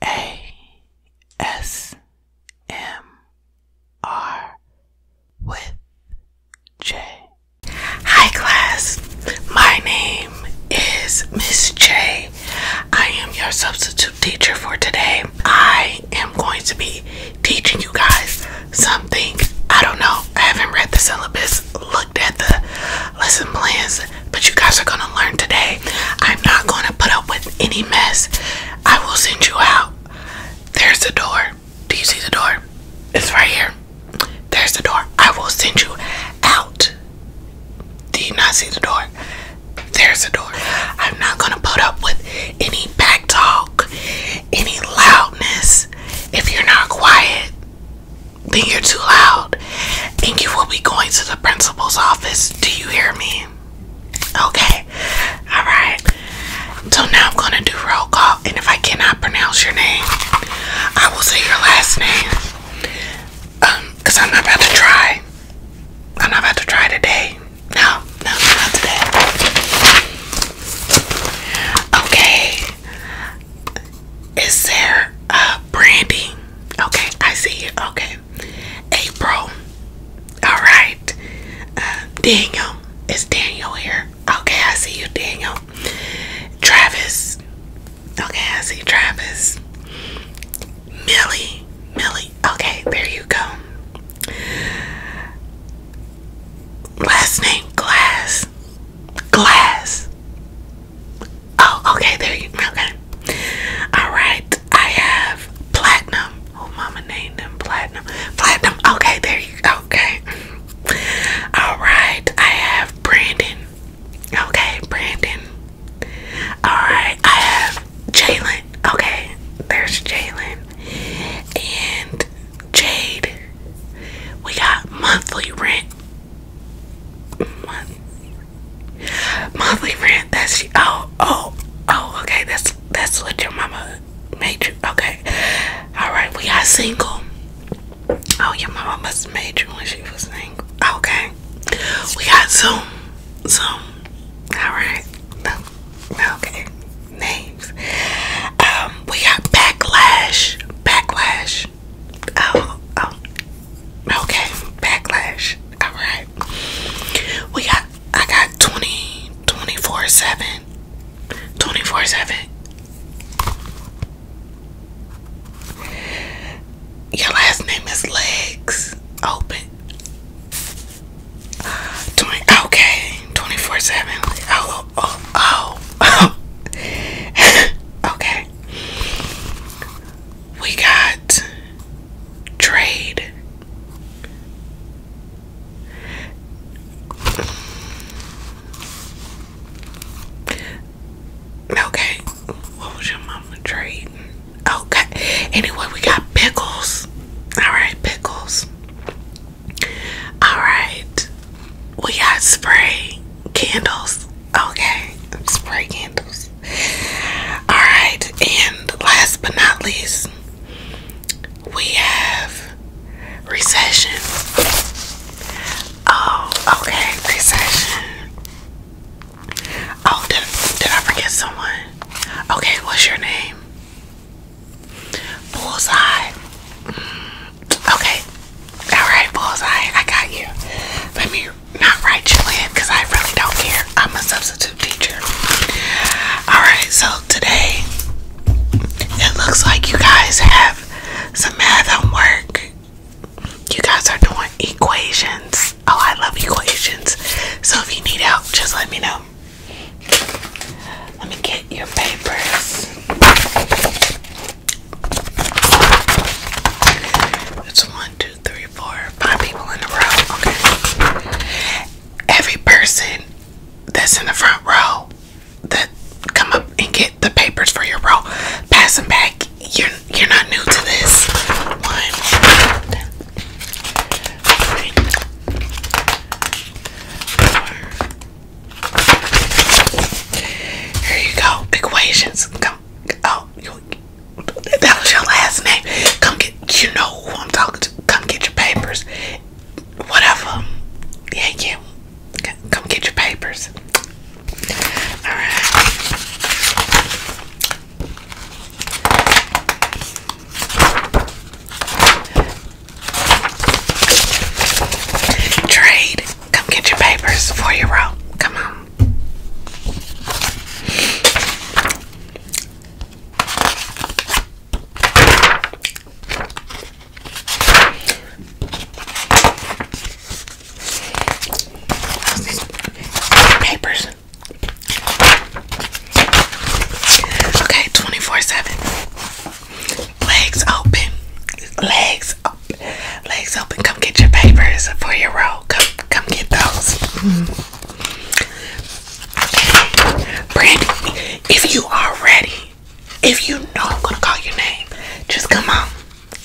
ASMR with J. Hi, class. My name is Miss J. I am your substitute teacher for today. I am going to be teaching you guys something. I don't know. I haven't read the syllabus, looked at the lesson plans but you guys are gonna learn today. I'm not gonna put up with any mess. I will send you out. There's the door. Do you see the door? It's right here. There's the door. I will send you out. Do you not see the door? There's the door. I'm not gonna put up with any back talk, any loudness. If you're not quiet, then you're too loud child and you will be going to the principal's office. Do you hear me? Okay. All right. So now I'm going to do roll call and if I cannot pronounce your name, I will say your last name. Um, cuz I'm not about to try. I'm not about to try today. No, no, not today. Okay. Is there a uh, Okay, I see Okay. April. Alright. Uh, Daniel. It's Daniel here. Okay, I see you, Daniel. Travis. Okay, I see Travis. Millie. Millie. Okay, there you go. Last name Glass. Glass. Oh, okay, there you okay. Alright, I have platinum. Oh mama named them platinum. Platinum, okay, there you go. Okay. Alright, I have Brandon. Okay, Brandon. Alright, I have Jalen. Okay, there's Jalen. And Jade. We got monthly rent. Monthly Monthly rent, that's oh oh oh okay, that's that's what your mama made you. Okay. Alright, we got single. Oh your mama must have made you when she was single. Okay. We got so so. Alright. Okay. Names. Um, we got backlash. Backlash. Oh, oh. Okay, backlash. All right we got i got 20 24 7 24 7 your last name is legs open 20 okay 24 7 oh oh oh, oh. okay we got trade. Okay, what was your mama trading? Okay, anyway, we got pickles. Alright, pickles. Alright, we got spray candles. Okay, spray candles. Alright, and last but not least, we have recession. Oh, okay, recession. Oh, did, did I forget someone? Okay, what's your name? Bullseye. Mm, okay, alright, Bullseye, I got you. Let me not right, Julian, because I really don't care. I'm a substitute teacher. Alright, so today it looks like you guys have some math homework. You guys are doing equations. Oh, I love equations. So if you need help, just let me know. Let me get your papers. It's one, two, two, three, four, five people in the row. Okay. Every person that's in the front row that come up and get the papers for your row, pass them back. You're you're not new to this. One. Here you go. Equations. Come. Oh, that was your last name. Come get, you know who I'm talking to. Come get your papers. Whatever. Yeah, yeah. Come get your papers. Alright. Trade. Come get your papers for your row. Come on. Papers. Okay, 24-7. Legs open. Legs open. Legs open. Come get your papers for your roll. Come Come get those. Mm. if you are ready, if you know gonna call your name, just come on.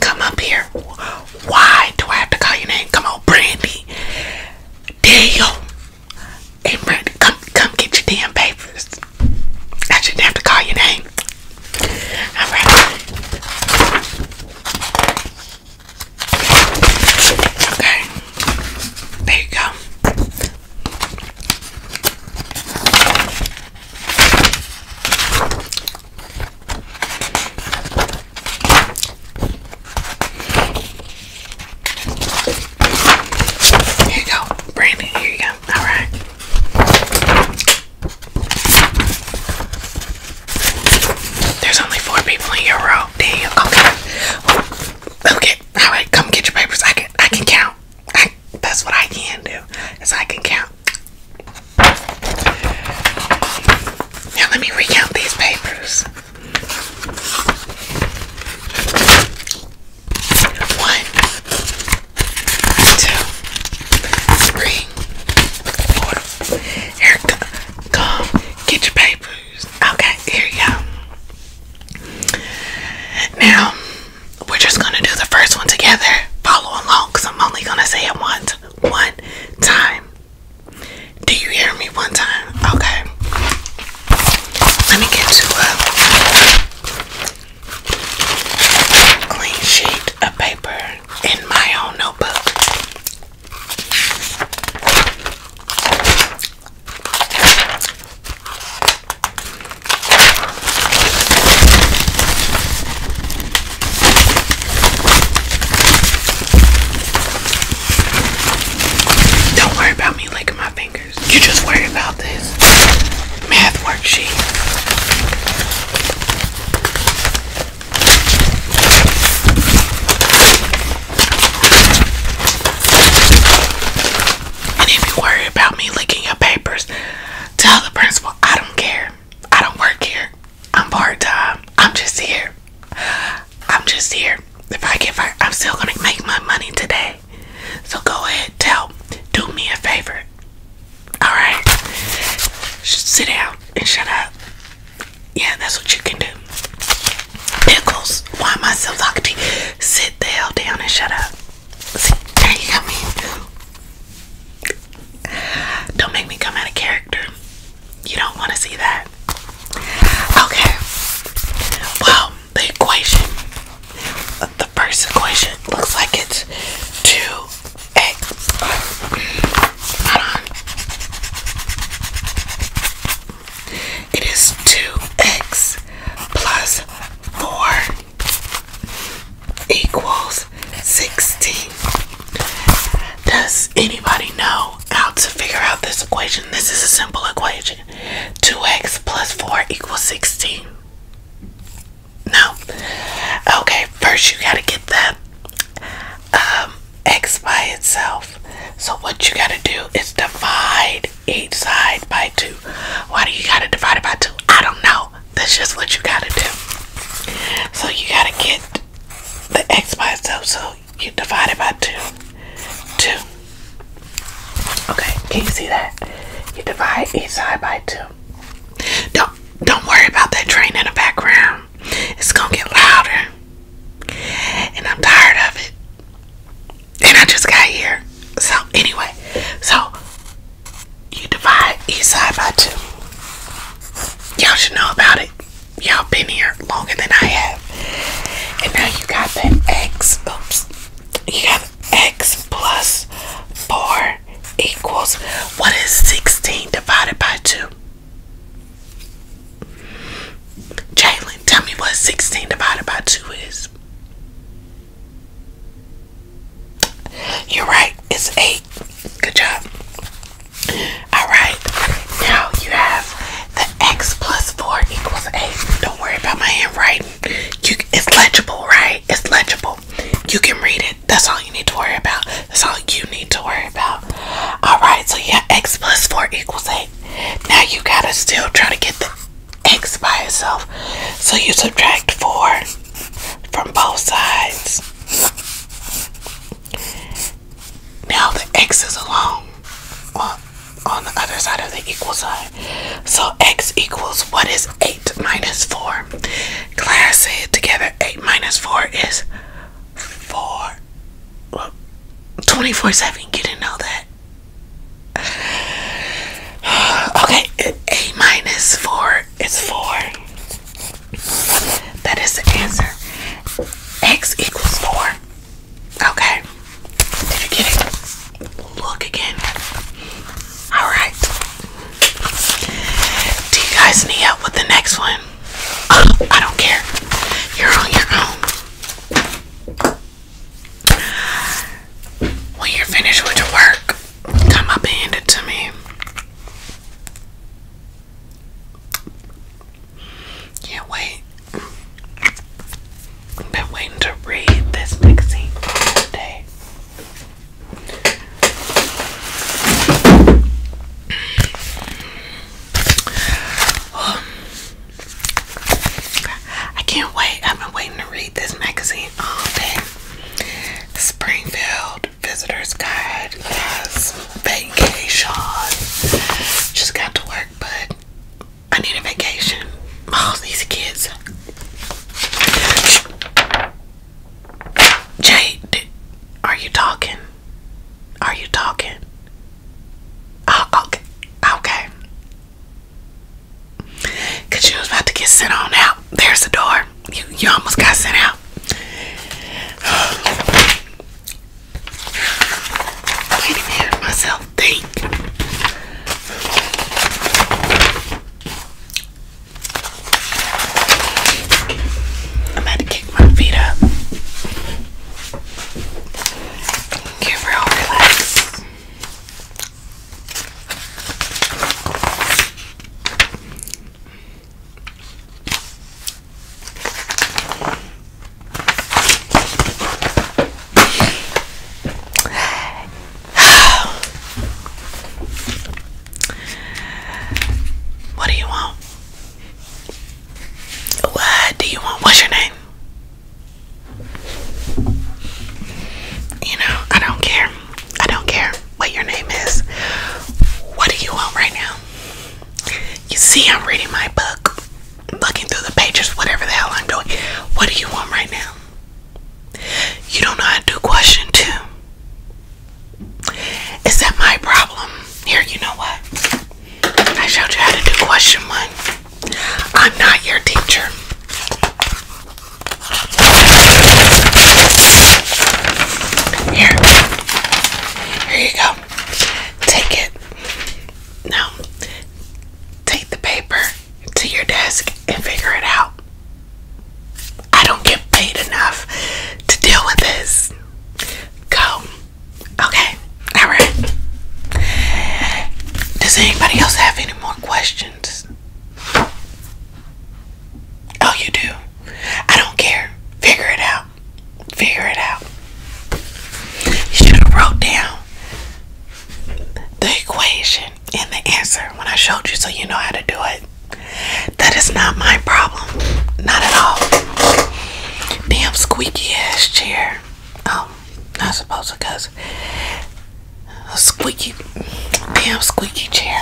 Come up here. Why do I have to call your name? Come on, Brandy. Daniel. Hey Brandy, come come get your damn papers. I shouldn't have to call your name. Alright. Okay, there you go. Here you go, Brandon. Here you go. All right. There's only four people in your row. Damn. Okay. Okay. All right. Come get your papers. I can. I can count. that's what I can do. Is I can count. Now let me recount these papers. One, two, three, four. Erica, Come get your papers. Okay, here you go. Now, we're just gonna do the first one together. Follow along, cause I'm only gonna say it once. One time. Do you hear me one time? Okay. Let me get you a clean sheet of paper in my own notebook. Don't worry about me licking my fingers. You just worry about this math worksheet. And if you worry about me leaking your papers, tell the principal I don't care. I don't work here. I'm part time. I'm just here. I'm just here. If I get fired, I'm still gonna make my money today. So go ahead, tell, do me a favor. Alright? Sit down and shut up. Yeah, that's what you can do. Pickles, why am I so talking Sit the hell down and shut up. See, now you got me. Don't make me come out of character. You don't want to see that. Okay. Well, the equation, the first equation looks like it's 2 Hey, hold on. It is 2x plus 4 equals 16. Does anybody know how to figure out this equation? This is a simple equation. 2x plus 4 equals 16. No. Okay, first you gotta get that um, x by itself. So what you gotta do is divide each side by two. Why do you gotta divide it by two? I don't know. That's just what you gotta do. So you gotta get the x by itself. So you divide it by two. Two. Okay, can you see that? You divide each side by two. Don't don't worry about that train in the background it's gonna get louder, and I'm tired of it. And I just got here. So anyway, so you divide each side by two. Y'all should know about it. Y'all been here longer than I have. And now you got that x, oops, you got x plus 4 equals, what is 16 divided by 2? Jalen, tell me what 16 divided by 2 is. You're right, it's 8. Good job. Alright, now you have the x plus 4 equals 8. Don't worry about my handwriting. You, it's legible, right? It's legible. You can read it. That's all you need to worry about. That's all you need to worry about. Alright, so yeah, x plus 4 equals 8. Now you gotta still try to get the x by itself. So you subtract 4 from both sides. Now the x is alone on, on the other side of the equal sign. So x equals what is 8 minus 4? Class it together. 8 minus 4 is for 24 7. You didn't know that. Okay, A minus 4 is 4. That is the answer. X equals 4. Okay. Did you get it? Look again. Alright. you guys need help with the next one? I don't care. You're on your own. When you're finished with your work, come up and it to me. Can't wait. been waiting to read this magazine today. I can't wait. I've been waiting to read this magazine all day. The Springfield Visitor's Guide yes. vacation. Just got to work, but I need a vacation. All oh, these kids. Jade, are you talking? Are you talking? Oh, okay. Okay. Cause you was about to get sent on out. There's the door. You you almost got sent out. I can't myself think. I'm about to kick my feet up. Get real relaxed. What do you want? What do you want? What's your name? You know, I don't care. I don't care what your name is. What do you want right now? You see, I'm reading my book, looking through the pages, whatever the hell I'm doing. What do you want right now? You don't know how to do question two. Is that my problem? Here, you know what? I showed you how to do question one. I'm not your teacher. Here. Here you go. Take it. Now, take the paper to your desk and figure it out. I don't get paid enough to deal with this. Go. Okay. All right. Does anybody else have any more questions? Oh, you do. I don't care. Figure it out. Figure it out. You should have wrote down the equation and the answer when I showed you so you know how to do it. That is not my problem. Not at all. Damn squeaky ass chair. Oh, not supposed to cuz a squeaky damn squeaky chair.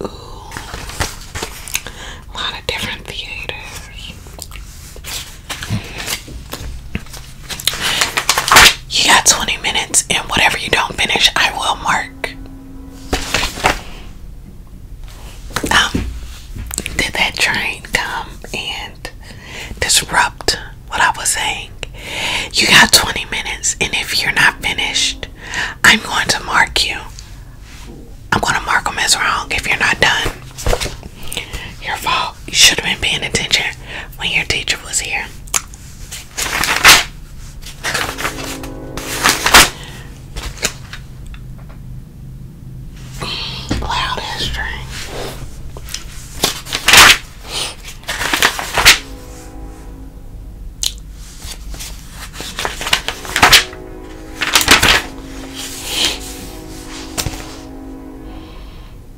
Ooh, a lot of different theaters. You got 20 minutes, and whatever you don't finish, I will mark. Um, did that train come and disrupt what I was saying? You got 20 minutes, and if you're not finished, I'm going to mark you. I'm going to mark them as wrong if you're not done. Your fault. You should have been paying attention when your teacher was here. Loud history.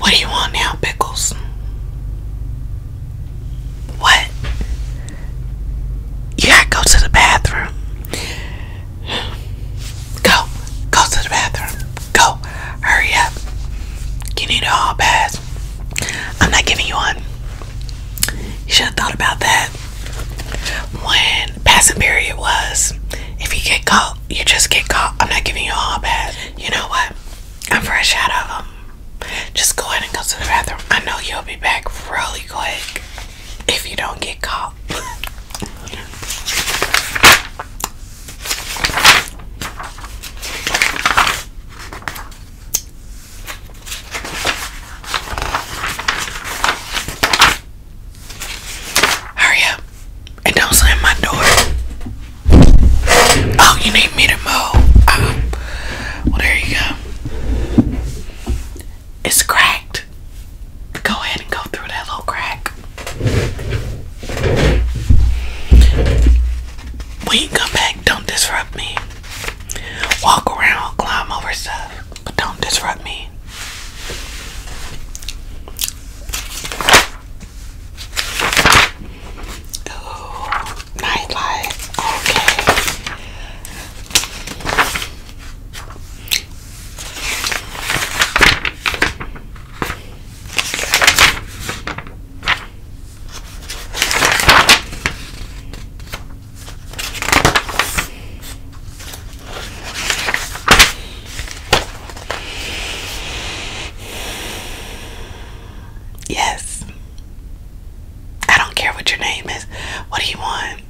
What do you want now, Pickles? What? You gotta go to the bathroom. Go. Go to the bathroom. Go. Hurry up. You need a hall pass. I'm not giving you one. You should have thought about that when passing period was. If you get caught, you just get caught. I'm not giving you a hall pass. You know what? I'm fresh out of them. Just go ahead and go to the bathroom. I know you'll be back really quick if you don't get caught. Hurry up and don't slam my door. Oh, you need me to mow. Um, well, there you go. It's cracked just go ahead and go through that little crack. When you come back, don't disrupt me. Walk around, climb over stuff, but don't disrupt me. nightlight. Okay. Yes. I don't care what your name is. What do you want?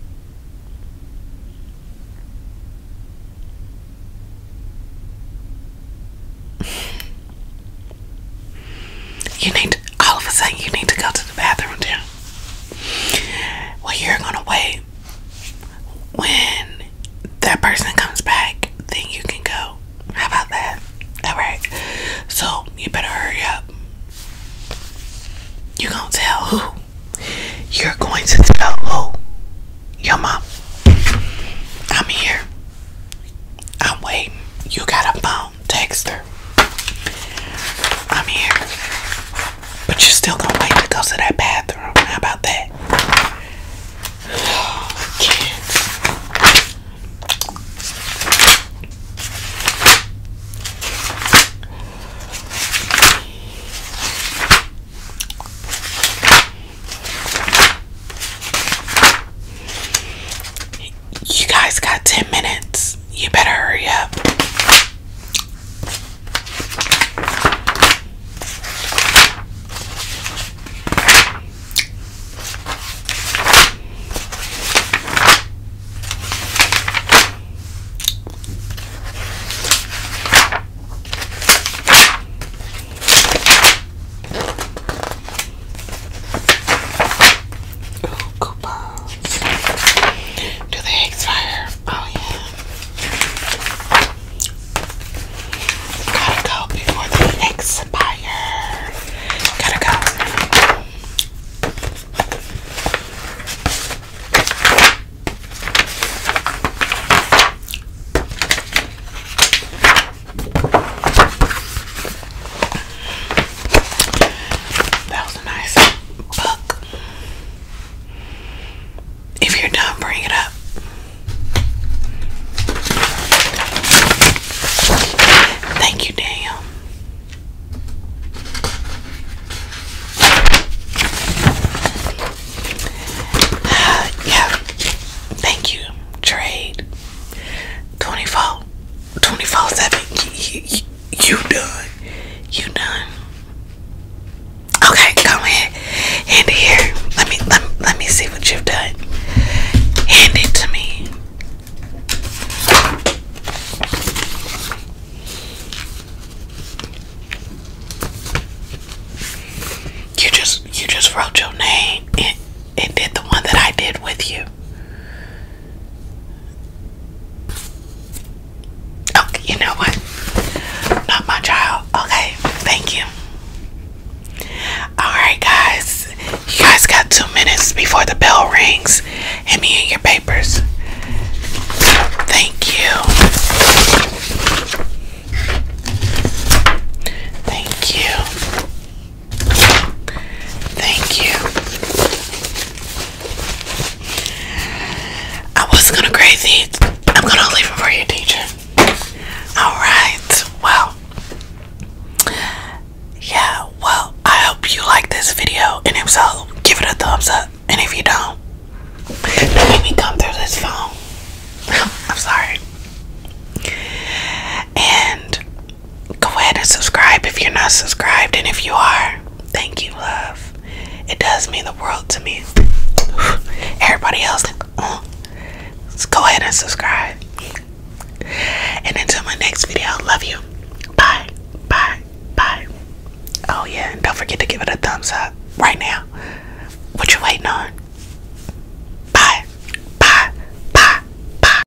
You need to, all of a sudden you need to go to the bathroom too. Well, you're gonna wait when that person comes back, then you can go. How about that? Alright. So you better hurry up. You gonna tell who? You're going to tell who? Your mom. I'm here. I'm waiting. You got a phone. Text her. I'm here. But you're still gonna wait to go to that bathroom. How about that? Oh, kids. You guys got 10 minutes. You better hurry up. Ooh, coupons. Do they expire? Oh yeah. Gotta go before they expire. Gotta go. That was a nice book. If you're done, bring it up. Thank you, Daniel. Uh, yeah, thank you, Trade. 24, 24 7. You, done. You done. Okay, go ahead. Hand it here. Let me, let let me see what you've done. Hand it to me. You just you just wrote your name and it did the one that I did with you. Okay, you know what? Not my child. Okay, thank you. Alright guys, you guys got two minutes before the bell rings. Hand me in your papers. Thank you. Thank you. Thank you. I was gonna crazy. I'm gonna leave it for you, teacher. Alright, well. Yeah, well, I hope you liked this video, and if so, give it a thumbs up. And if you don't, do me come through this phone. I'm sorry. And go ahead and subscribe if you're not subscribed, and if you are, thank you, love. It does mean the world to me. Everybody else, let's uh, go ahead and subscribe. And until my next video, love you. Bye, bye, bye. Oh yeah, and don't forget to give it a thumbs up right now. What you waiting on? Bye. Bye. Bye. Bye.